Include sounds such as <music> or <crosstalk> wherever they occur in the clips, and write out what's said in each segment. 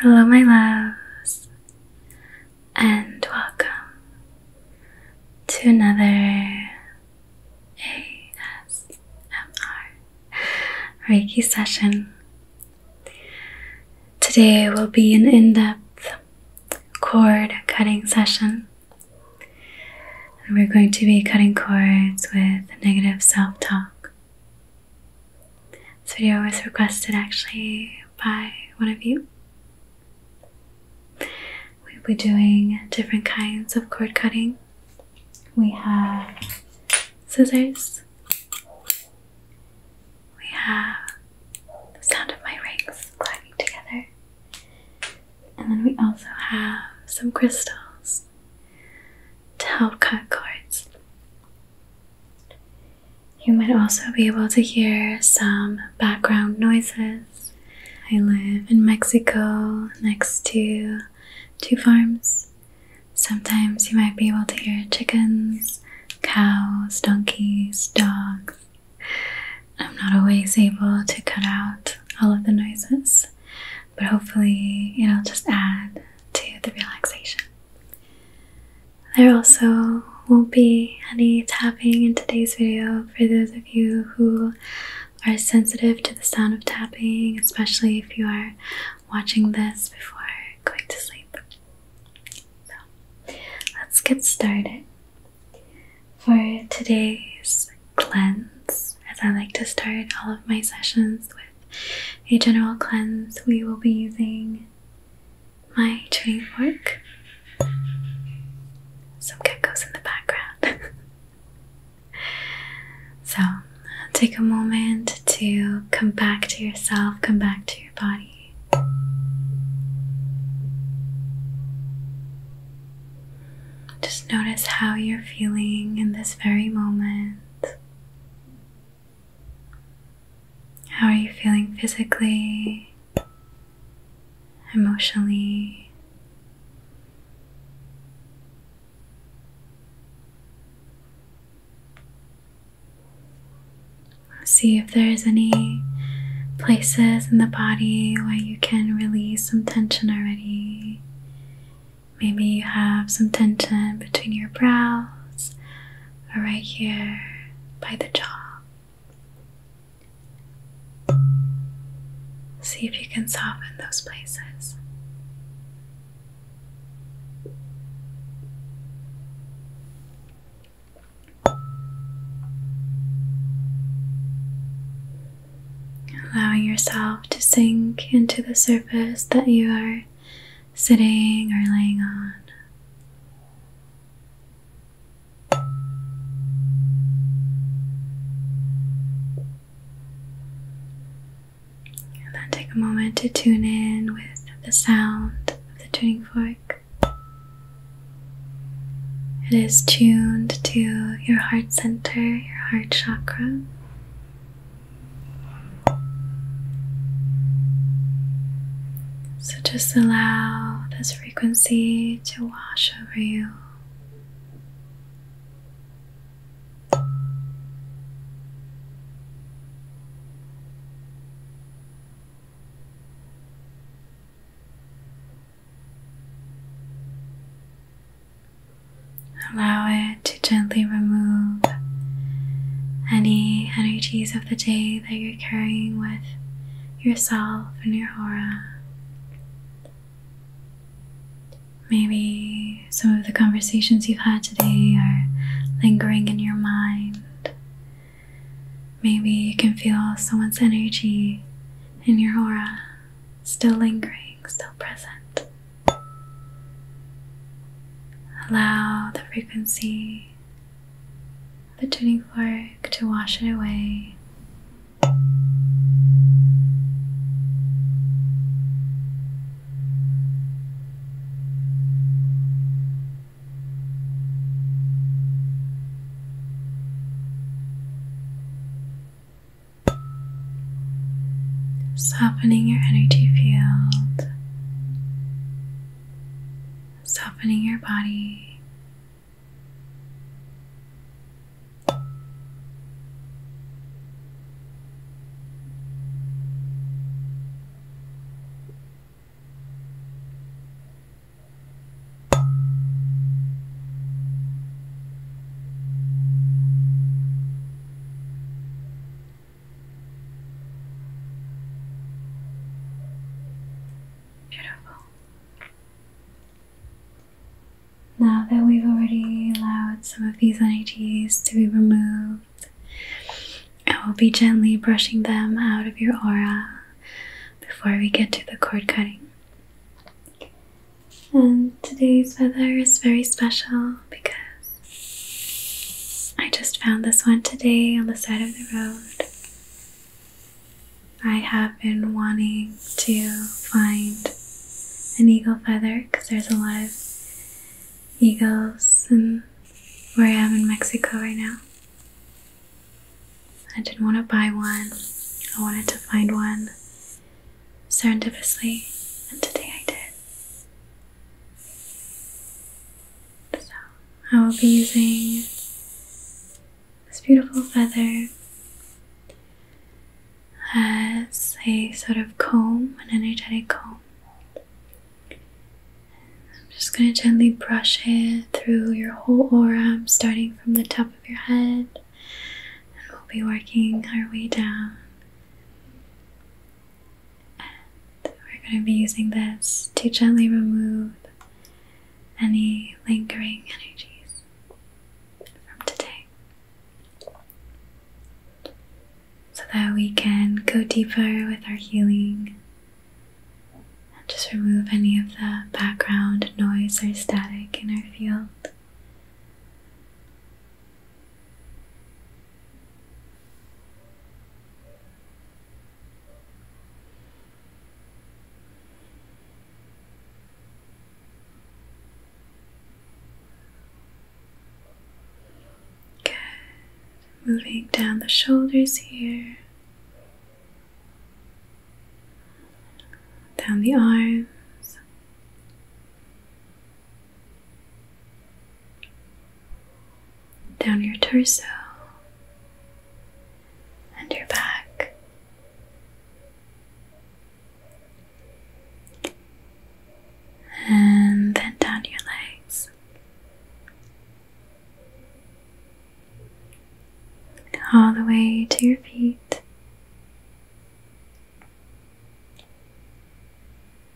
Hello, my loves, and welcome to another ASMR Reiki session. Today will be an in depth cord cutting session, and we're going to be cutting cords with negative self talk. This video was requested actually by one of you. We'll be doing different kinds of cord cutting. We have scissors. We have the sound of my rings clacking together. And then we also have some crystals to help cut cords. You might also be able to hear some background noises. I live in Mexico next to two farms. Sometimes you might be able to hear chickens, cows, donkeys, dogs. I'm not always able to cut out all of the noises, but hopefully it'll just add to the relaxation. There also won't be any tapping in today's video for those of you who are sensitive to the sound of tapping, especially if you are watching this before going to sleep. So let's get started. For today's cleanse, as I like to start all of my sessions with a general cleanse, we will be using my tuning fork. Some geckos in the background. <laughs> so, take a moment to come back to yourself, come back to your body. Just notice how you're feeling in this very moment. How are you feeling physically, emotionally? See if there's any places in the body where you can release some tension already. Maybe you have some tension between your brows or right here by the jaw. See if you can soften those places. Allowing yourself to sink into the surface that you are sitting or laying on. And then take a moment to tune in with the sound of the tuning fork. It is tuned to your heart center, your heart chakra. So just allow this frequency to wash over you. Allow to gently remove any energies of the day that you're carrying with yourself and your aura. Maybe some of the conversations you've had today are lingering in your mind. Maybe you can feel someone's energy in your aura still lingering, still present. Allow the frequency of the tuning fork to wash it away. Softening your energy field softening your body. Beautiful. Now that we've already allowed some of these energies to be removed, I will be gently brushing them out of your aura before we get to the cord cutting. And today's feather is very special because I just found this one today on the side of the road. I have been wanting to find an eagle feather because there's a lot of eagles and where I am in Mexico right now. I didn't want to buy one. I wanted to find one serendipitously, and today I did. So I will be using this beautiful feather as a sort of comb, an energetic comb. I'm just going to gently brush it through your whole aura, starting from the top of your head, and we'll be working our way down we're going to be using this to gently remove any lingering energies from today so that we can go deeper with our healing and just remove any of the background noise or static in our field. Good. Moving down the shoulders here, down the arms down your torso and your back. And then down your legs. All the way to your feet.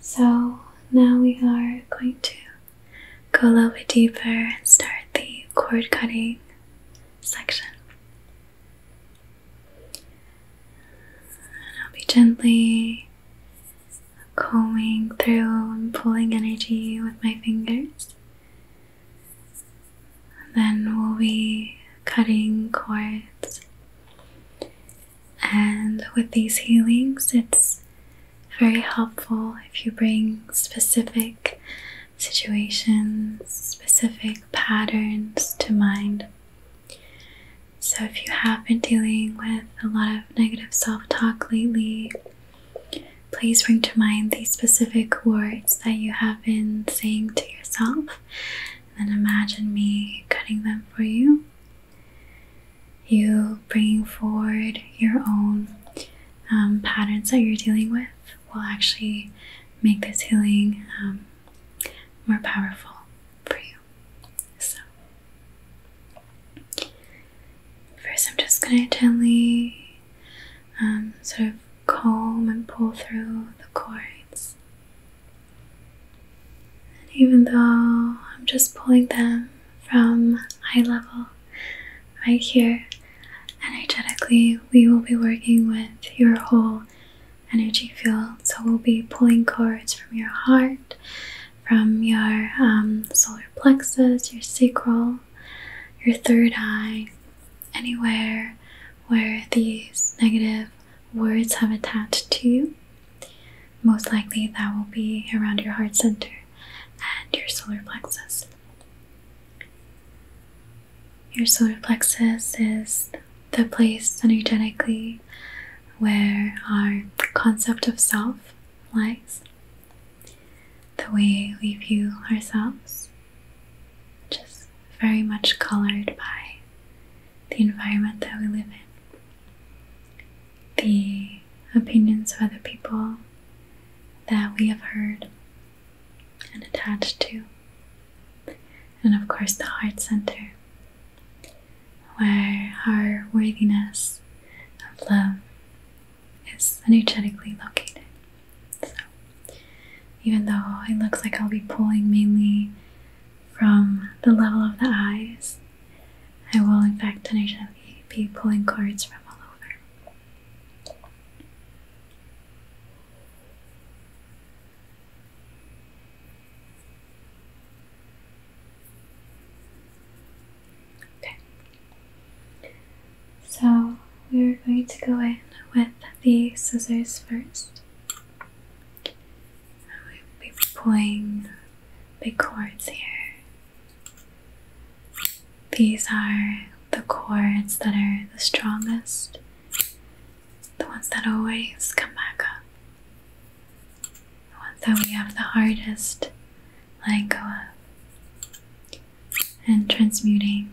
So now we are going to go a little bit deeper and start the cord cutting section. And I'll be gently combing through and pulling energy with my fingers. then we'll be cutting cords. And with these healings, it's very helpful if you bring specific situations, specific patterns to mind. So, if you have been dealing with a lot of negative self talk lately, please bring to mind these specific words that you have been saying to yourself and then imagine me cutting them for you you bringing forward your own um, patterns that you're dealing with will actually make this healing um, more powerful for you. So, first, I'm just going to gently um, sort of comb and pull through the cords. And even though I'm just pulling them from high level right here. Energetically, we will be working with your whole energy field. So we'll be pulling cords from your heart, from your um, solar plexus, your sacral, your third eye, anywhere where these negative words have attached to you. Most likely that will be around your heart center and your solar plexus. Your solar plexus is the place energetically where our concept of self lies, the way we view ourselves, just very much colored by the environment that we live in, the opinions of other people, that we have heard and attached to. And of course, the heart center, where our worthiness of love is energetically located. So, even though it looks like I'll be pulling mainly from the level of the eyes, I will, in fact, energetically be pulling cords from all over. Okay. So we're going to go in with the scissors first. We'll pulling big cords here these are the chords that are the strongest, the ones that always come back up, the ones that we have the hardest letting go of and transmuting.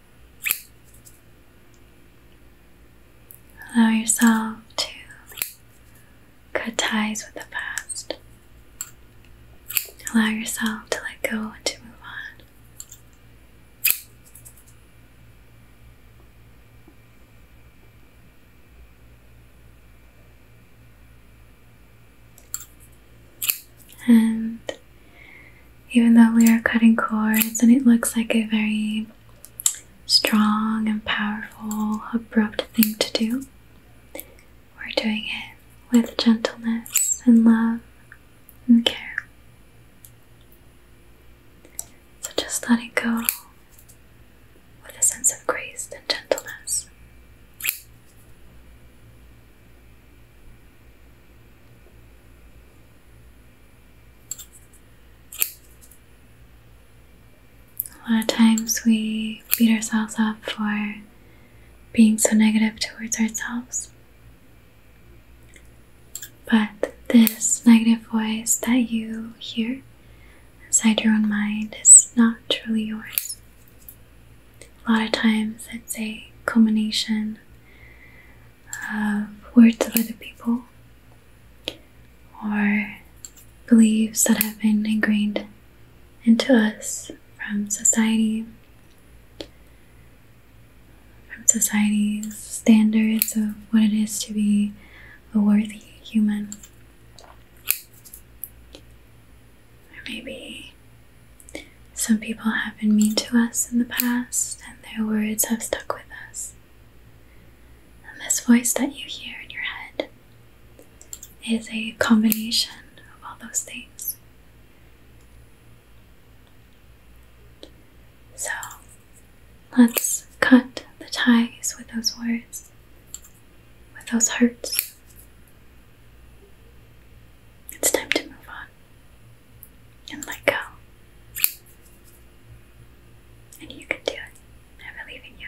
Allow yourself to cut ties with the past. Allow yourself to let go and to move on. And even though we are cutting cords and it looks like a very strong and powerful, abrupt thing to do, we're doing it with gentleness and love and care. So just let it go with a sense of grace and gentleness. A lot of times we beat ourselves up for being so negative towards ourselves. But this negative voice that you hear inside your own mind is not truly yours. A lot of times it's a culmination words of other people or beliefs that have been ingrained into us from society, from society's standards of what it is to be a worthy human. Or maybe some people have been mean to us in the past and their words have stuck with us. And this voice that you hear in your head is a combination of all those things. So let's cut the ties with those words, with those hurts. It's time to move on and let go. And you can do it. I believe in you.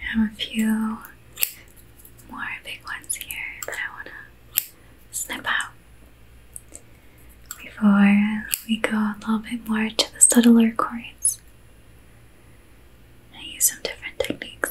I have a few more big ones here that I want to snip out before we go a little bit more to the subtler chords. I use some different techniques.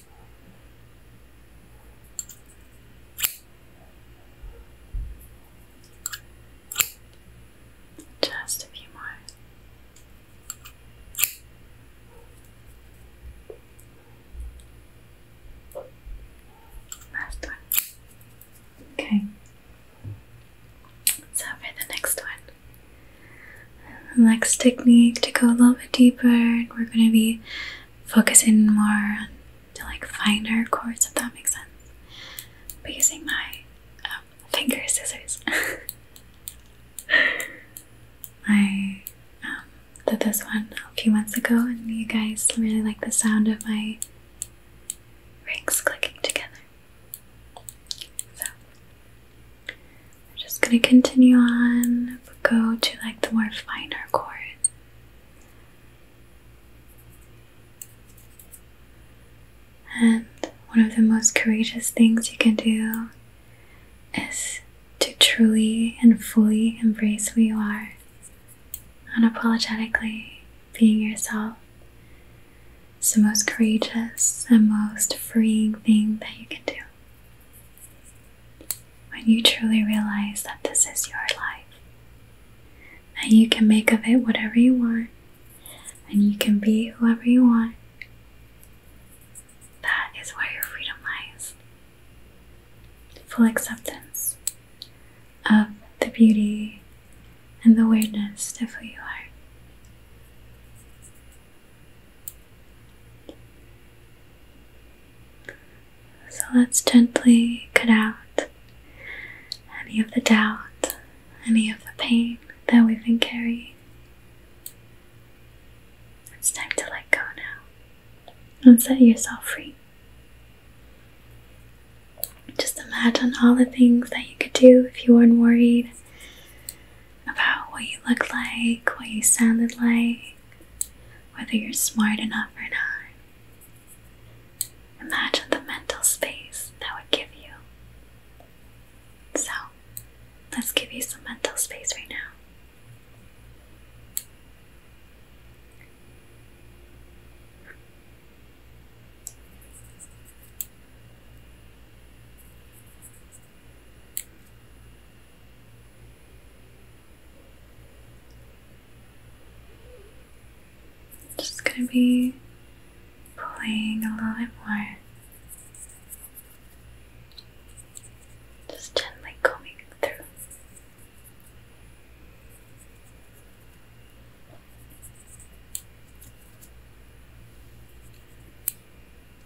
Just a few more. Last one. Okay. So for the next one, the next technique to go a little bit deeper, and we're going to be focusing more on to like find our chords, if that makes sense. But using my um, finger scissors, <laughs> I um, did this one a few months ago, and you guys really like the sound of my rings clicking together. So we're just going to continue on, but go to like the more finer chords. And one of the most courageous things you can do is to truly and fully embrace who you are, unapologetically being yourself. It's the most courageous and most freeing thing that you can do. When you truly realize that this is your life, and you can make of it whatever you want, and you can be whoever you want, that is where your freedom lies. Full acceptance of the beauty and the weirdness of who you are. So let's gently cut out any of the doubt, any of the pain that we've been carrying. It's time to let go now and set yourself free. Just imagine all the things that you could do if you weren't worried about what you looked like, what you sounded like, whether you're smart enough or not. Imagine the mental space that would give you. So, let's give you some mental space right now just going to be playing a little bit more. Just gently combing through.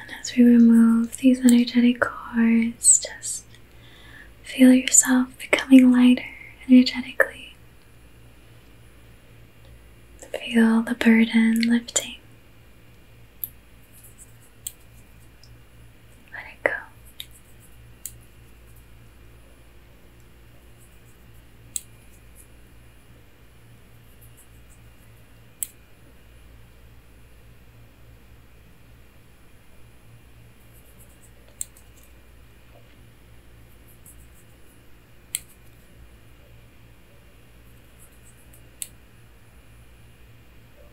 And as we remove these energetic cords, just feel yourself becoming lighter energetically. Feel the burden lifting. Let it go.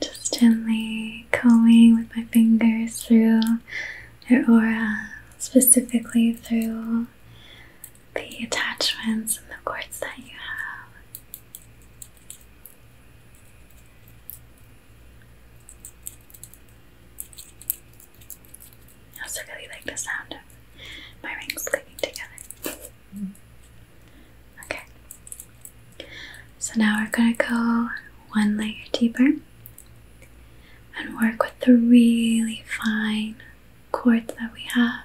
Just gently combing with my fingers through your aura, specifically through the attachments and the cords that you have. I also really like the sound of my rings clicking together. okay. So now we're going to go one layer deeper and work with the really fine cords that we have.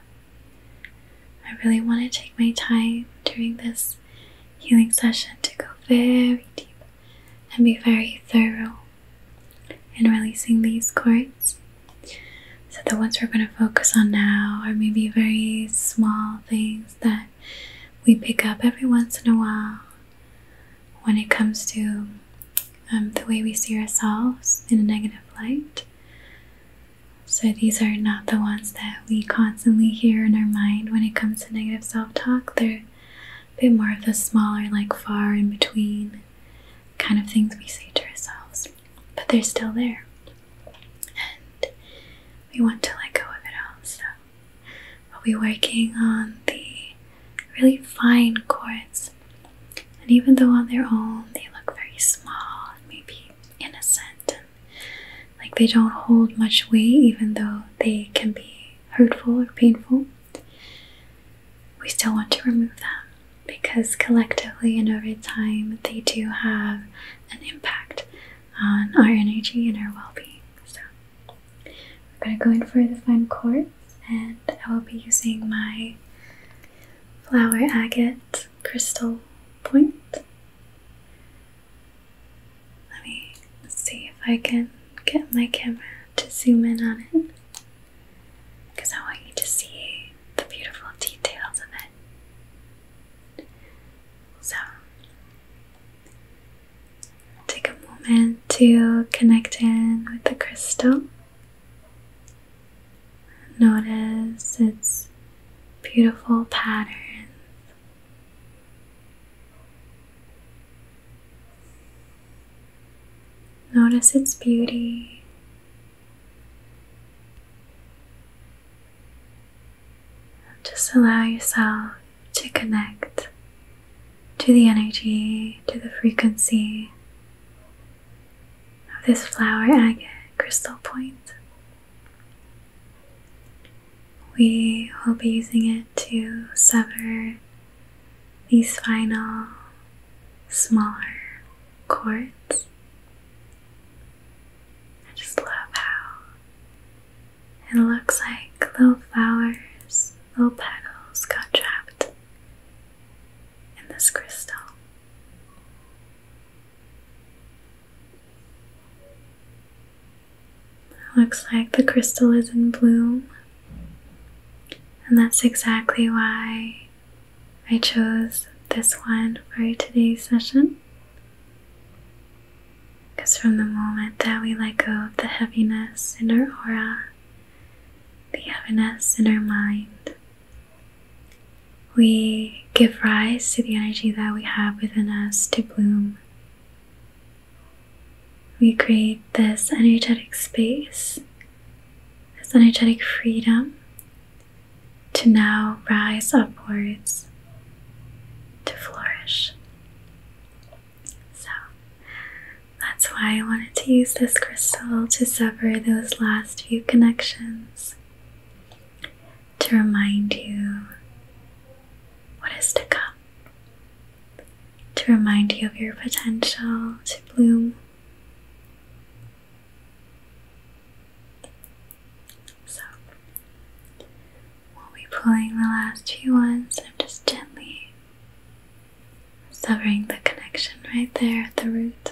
I really want to take my time doing this healing session to go very deep and be very thorough in releasing these cords. So, the ones we're going to focus on now are maybe very small things that we pick up every once in a while when it comes to um, the way we see ourselves in a negative light. So, these are not the ones that we constantly hear in our mind when it comes to negative self talk. They're a bit more of the smaller, like far in between kind of things we say to ourselves, but they're still there. And we want to let go of it all. So, we'll be working on the really fine chords. And even though on their own they look very small and maybe innocent like they don't hold much weight, even though they can be hurtful or painful. We still want to remove them because collectively and over time they do have an impact on our energy and our well being. So, we're going to go in for the fine quartz, and I will be using my flower agate crystal point. Let me see if I can get my camera to zoom in on it because I want you to see the beautiful details of it. So, take a moment to connect in with the crystal. Notice its beautiful patterns. Notice its beauty. Just allow yourself to connect to the energy, to the frequency of this flower agate crystal point. We will be using it to sever these final smaller cords. I just love how it looks like little flowers, little petals got trapped in this crystal. Looks like the crystal is in bloom, and that's exactly why I chose this one for today's session. Because from the moment that we let go of the heaviness in our aura, the heaviness in our mind, we give rise to the energy that we have within us to bloom. We create this energetic space, this energetic freedom to now rise upwards to flourish. So that's why I wanted to use this crystal to sever those last few connections to remind you what is to come, to remind you of your potential to bloom. So, we'll be pulling the last few ones, and just gently severing the connection right there at the root.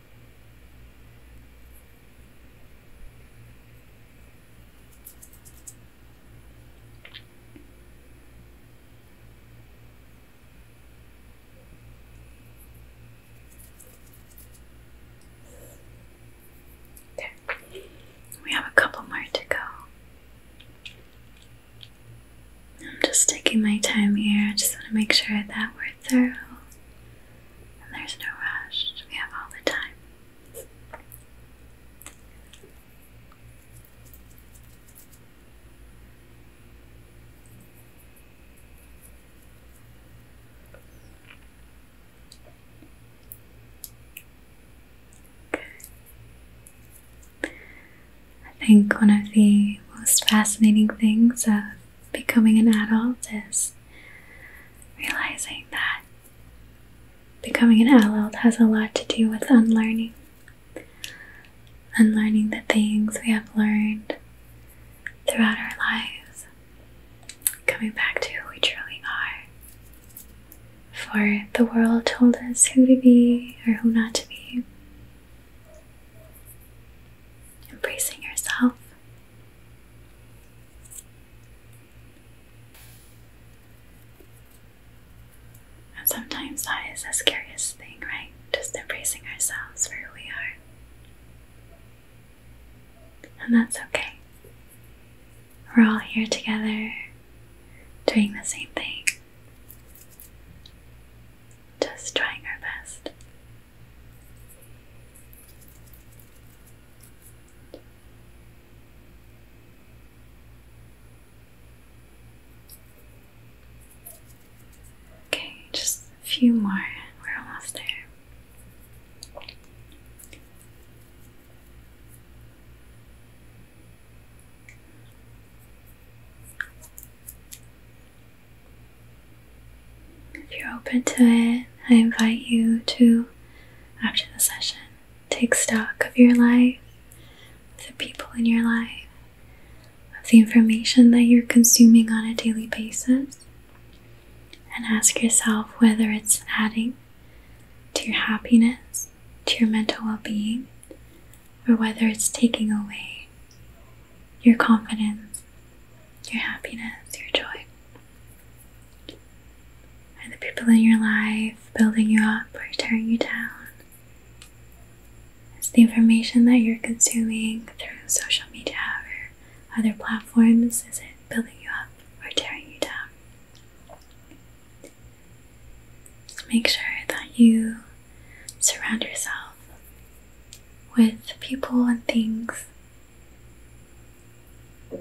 There. We have a couple more to go. I'm just taking my time here. I just want to make sure that we're we there's no rush. We have all the time. I think one of the most fascinating things of becoming an adult is realizing that becoming an adult has a lot to do with unlearning. Unlearning the things we have learned throughout our lives, coming back to who we truly are. For the world told us who to be or who not to be. Embracing yourself and sometimes that is the scariest thing, right? Just embracing ourselves for who we are. And that's okay. We're all here together doing the same thing, just trying our best. Okay, just a few more. We're almost there. If you're open to it, I invite you to, after the session, take stock of your life, of the people in your life, of the information that you're consuming on a daily basis, and ask yourself whether it's adding to your happiness, to your mental well being, or whether it's taking away your confidence, your happiness, your joy. Are the people in your life building you up or tearing you down? Is the information that you're consuming through social media or other platforms, is it building you up or tearing you down? So make sure that you surround yourself with people and things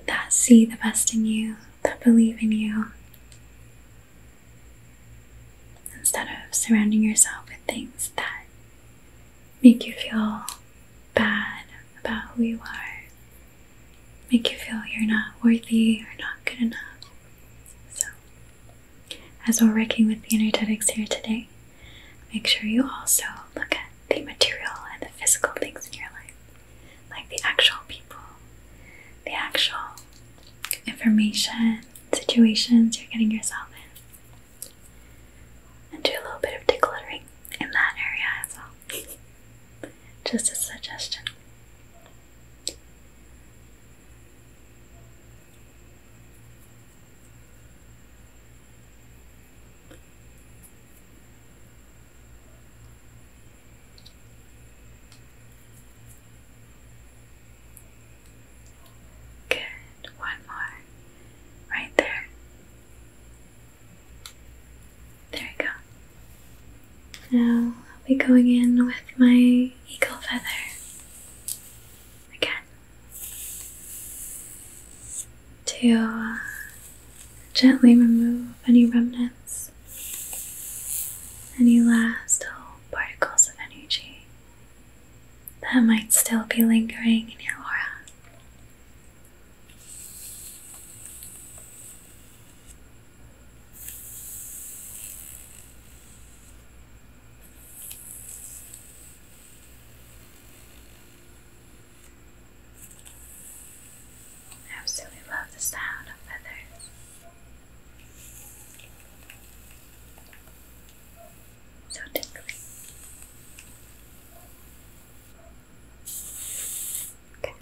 that see the best in you, that believe in you, instead of surrounding yourself with things that make you feel bad about who you are, make you feel you're not worthy or not good enough. So, as we're working with the energetics here today, Make sure you also look at the material and the physical things in your life, like the actual people, the actual information, situations you're getting yourself into. a little bit of decluttering in that area as well. <laughs> Just a suggestion. Good, one more right there. There we go. Now I'll be going in with my eagle feather again to uh, gently remove any remnants, any last little particles of energy that might still be lingering in your aura. I absolutely love the sound of feathers. So tickly. Okay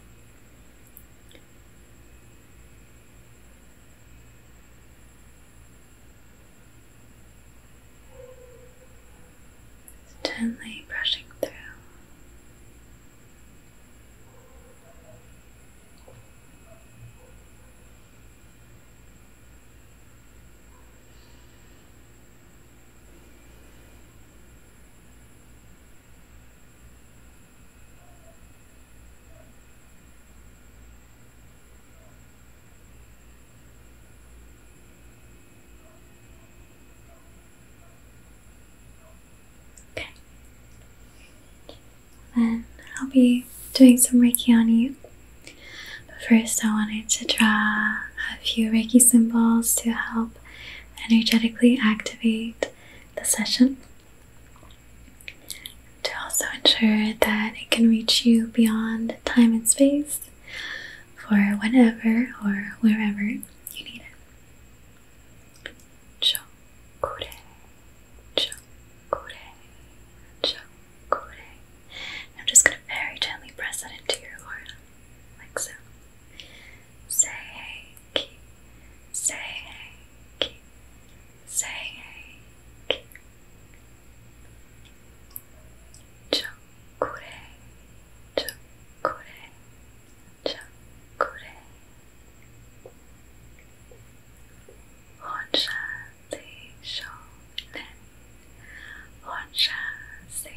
gently brushing through. Okay. Then I'll be doing some Reiki on you. But first, I wanted to draw a few Reiki symbols to help energetically activate the session. To also ensure that it can reach you beyond time and space for whenever or wherever you need it. Chokure, chokure, chokure. I'm just going to very gently press that into your aura, like so. Say ki, say ki, say ki. Cho chakure, chakure, chakure. Honsha se shonen, honsha se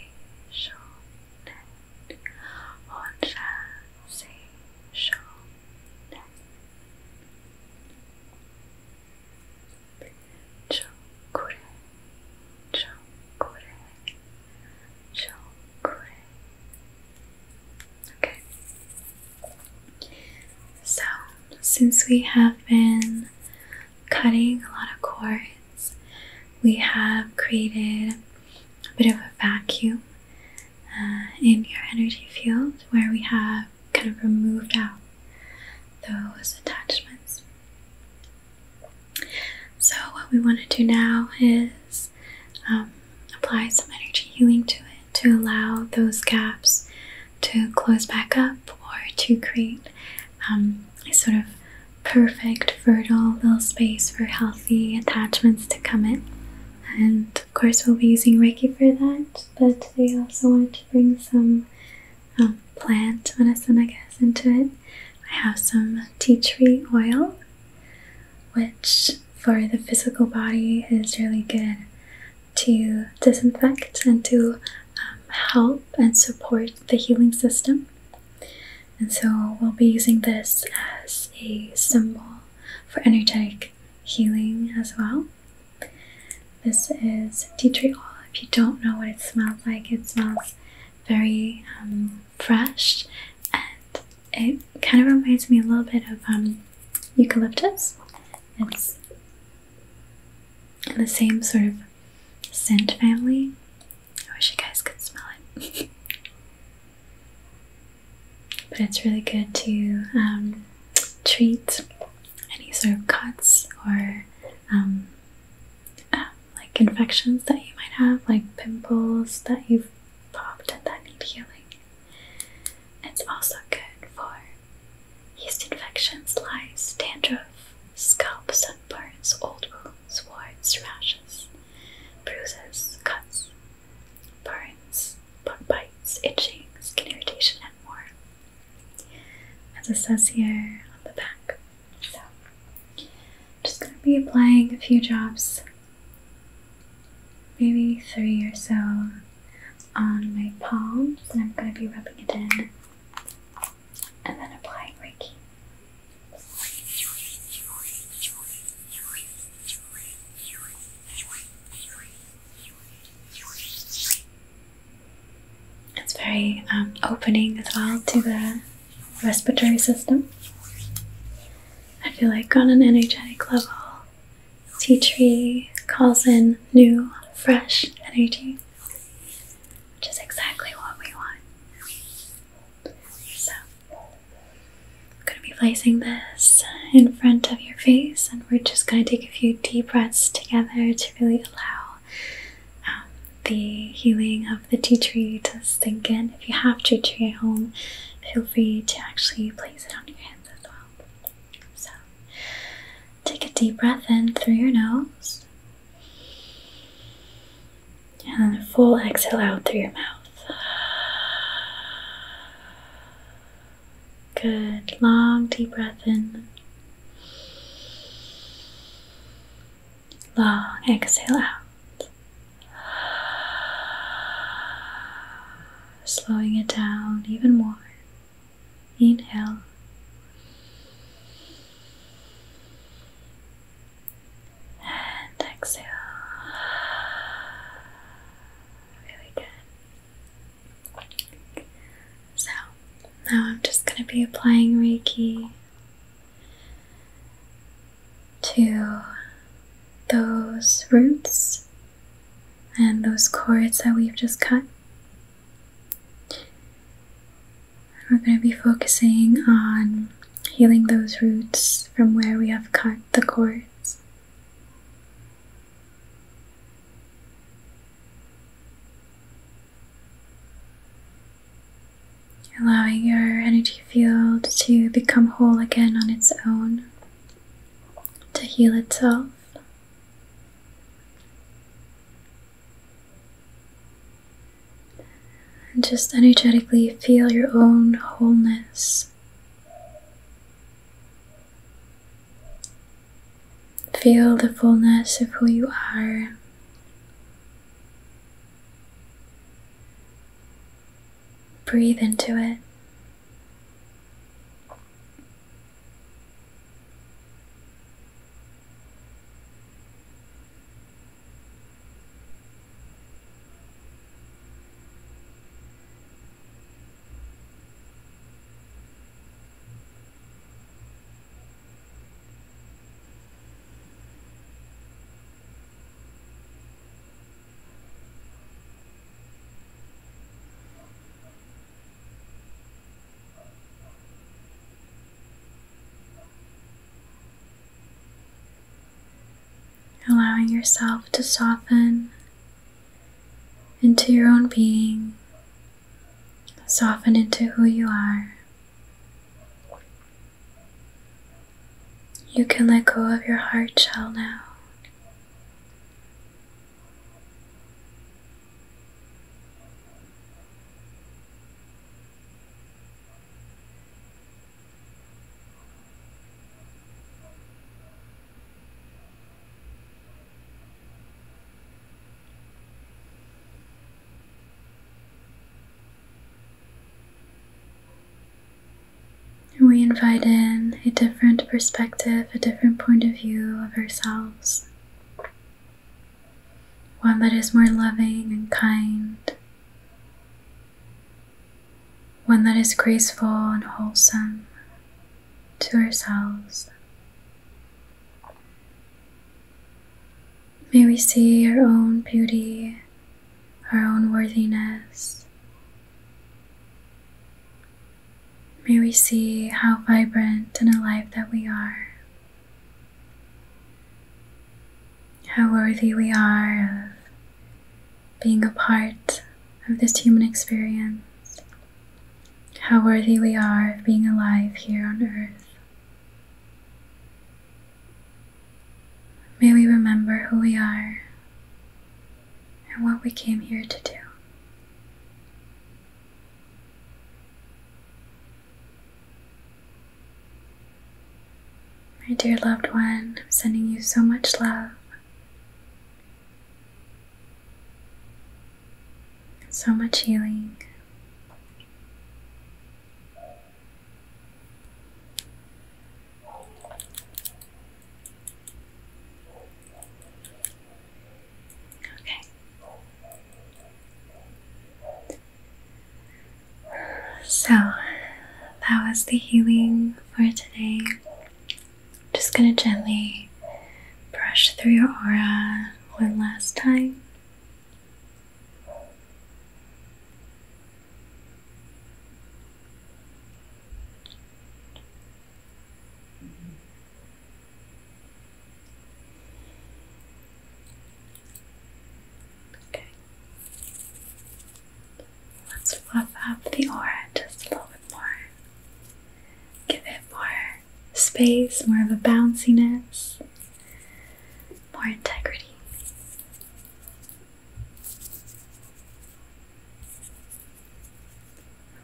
shonen, honsha se shonen. Chokure, chokure, Okay. So, since we have been cutting a lot of cords, we have created a bit of a vacuum uh, in your energy field where we have kind of removed out those attachments. So, what we want to do now is um, apply some energy healing to it to allow those gaps to close back up or to create um, a sort of perfect, fertile little space for healthy attachments to come in. And of course, we'll be using Reiki for that, but we also want to bring some um, plant medicine, I guess, into it. I have some tea tree oil, which for the physical body is really good to disinfect and to um, help and support the healing system. And so we'll be using this as a symbol for energetic healing as well. This is tea tree oil. If you don't know what it smells like, it smells very um, fresh and it kind of reminds me a little bit of um, eucalyptus. It's in the same sort of scent family. I wish you guys could smell it. <laughs> but it's really good to um, treat any sort of cuts or Ah, like infections that you might have, like pimples that you've popped and that need healing. It's also good for yeast infections, lice, dandruff, scalp sunburns, old wounds, warts, rashes, bruises, cuts, burns, bug bites, itching, skin irritation, and more. As it says here on the back, so, I'm just going to be applying a few drops, maybe three or so, on my palms, and I'm going to be rubbing it in and then applying Reiki. It's very um, opening as well to the respiratory system. I feel like on an energetic level, tea tree calls in new, fresh energy, which is exactly what we want. So, I'm going to be placing this in front of your face, and we're just going to take a few deep breaths together to really allow the healing of the tea tree to sink in. If you have tea tree at home, feel free to actually place it on your hands as well. So take a deep breath in through your nose and a full exhale out through your mouth. Good. Long deep breath in. Long exhale out. Slowing it down even more. Inhale. And exhale. Really good. So now I'm just going to be applying Reiki to those roots and those cords that we've just cut. we're going to be focusing on healing those roots from where we have cut the cords allowing your energy field to become whole again on its own, to heal itself. And just energetically feel your own wholeness. Feel the fullness of who you are Breathe into it. Allowing yourself to soften into your own being, soften into who you are. You can let go of your heart shell now. And we invite in a different perspective, a different point of view of ourselves. One that is more loving and kind. One that is graceful and wholesome to ourselves. May we see our own beauty, our own worthiness. May we see how vibrant and alive that we are, how worthy we are of being a part of this human experience, how worthy we are of being alive here on earth. May we remember who we are and what we came here to do. My dear loved one, I'm sending you so much love and so much healing. Okay. So that was the healing for today. just going to gently brush through your aura one last time. Okay. Let's fluff up the aura just a little bit more. Give it more space, more of a bounciness, more integrity.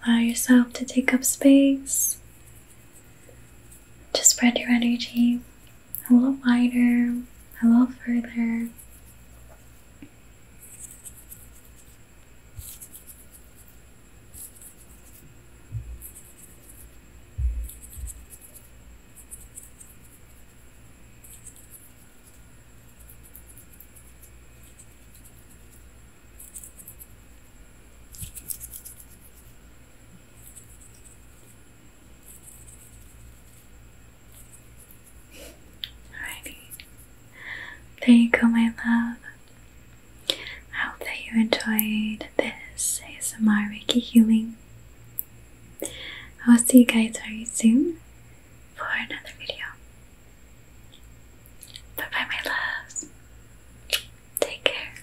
Allow yourself to take up space, to spread your energy a little wider, a little further. Alrighty. There you go, my love. I hope that you enjoyed this It's ASMR Reiki healing. I will see you guys very soon for another video. Bye bye, my loves. Take care.